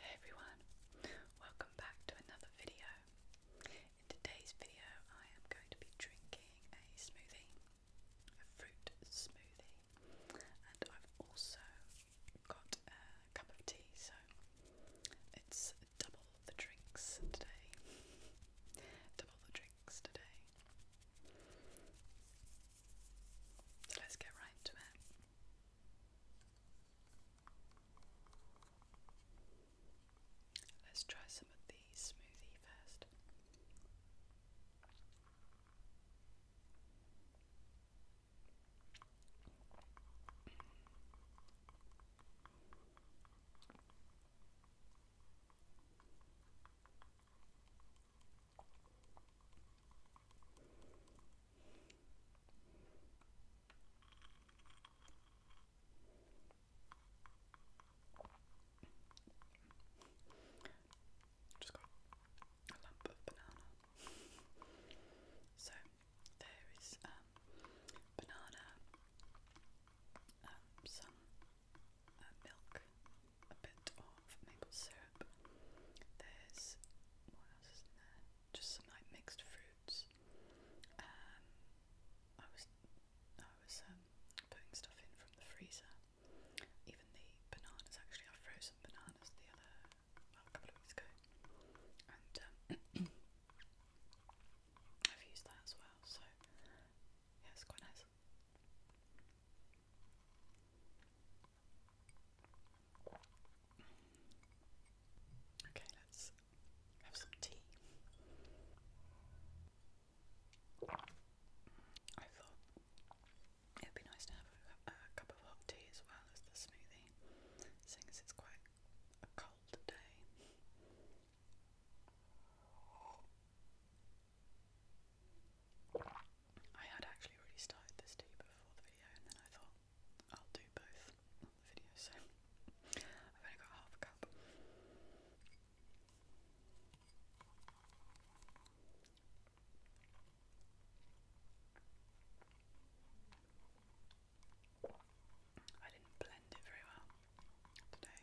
Hey everyone, welcome back to another video. In today's video, I am going to be drinking a smoothie, a fruit smoothie, and I've also got a cup of tea, so it's double the drinks today. double the drinks today let's get right to it. Let's try some of these smoothie first. Just got a lump of banana. so there is um, banana, um, some uh, milk, a bit of maple syrup. There's what else is in there? Just some like mixed fruits. Um, I was I was um, putting stuff in from the freezer. Even the bananas actually, I frozen bananas the other well, a couple of weeks ago, and um, I've used that as well. So yeah, it's quite nice. Okay, let's have some tea. I thought it would be nice to have a, cup of hot tea as well as the smoothie, seeing it's quite a cold day. I had actually already started this tea before the video and then I thought I'll do both on the video, so I've only got half a cup. I didn't blend it very well today.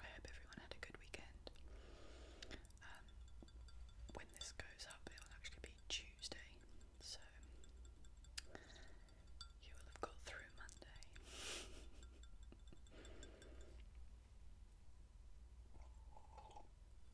I hope everyone had a good weekend. Um, when this goes up, it will actually be Tuesday, so you will have got through Monday.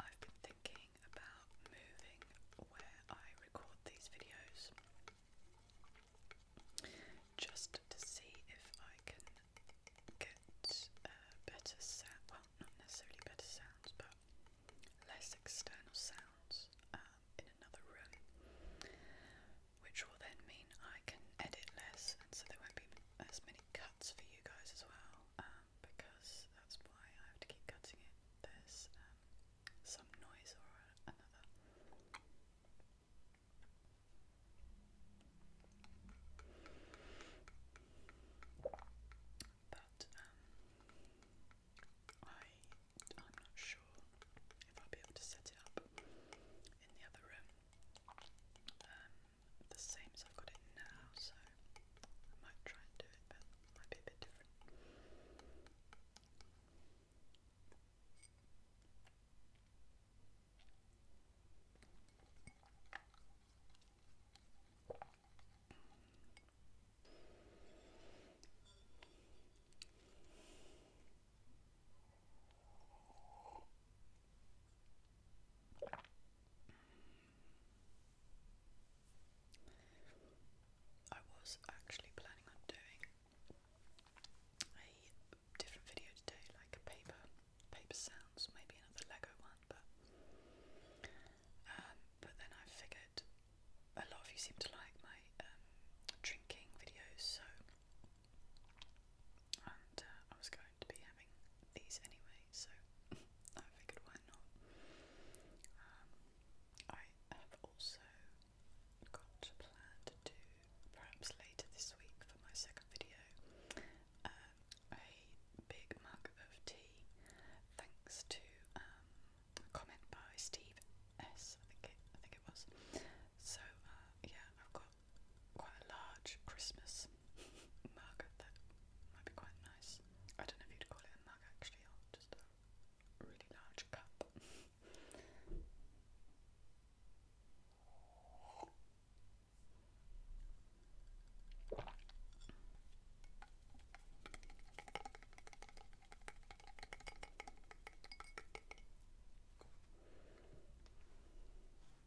I've been thinking about moving where I record these videos just to see if I can get uh, better sound, well, not necessarily better sounds, but less external sounds um, in another room, which will then mean I can edit less, and so there won't be as many cuts for you guys as well um, because that's why I have to keep cutting it. There's um, some noise or another. But um, I, I'm not sure if I'll be able to set it up in the other room. Um, the same as I've got it now, so I might try and do it, but might be a bit different. I was actually planning on doing a different video today, like a paper paper sounds, maybe another Lego one, but um, but then I figured a lot of you seem to like my um, drinking videos, so and uh, I was I to be having these anyway, so I figured why not. Um, I have also got a plan to perhaps later this week for my second video, um, a big mug of tea, thanks to um, comment by Steve S. I think I think it was. So uh, yeah, I've got quite a large Christmas mug that might be quite nice. I don't know if you'd call it a mug actually, just a really large cup.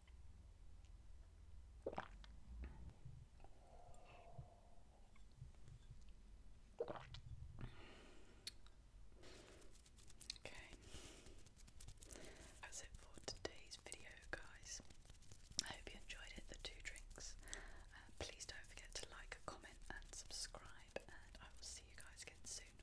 Okay, that's it for today's video, guys. I hope you enjoyed it, the two drinks. Uh, please don't forget to like, comment, and subscribe, and I will see you guys again soon.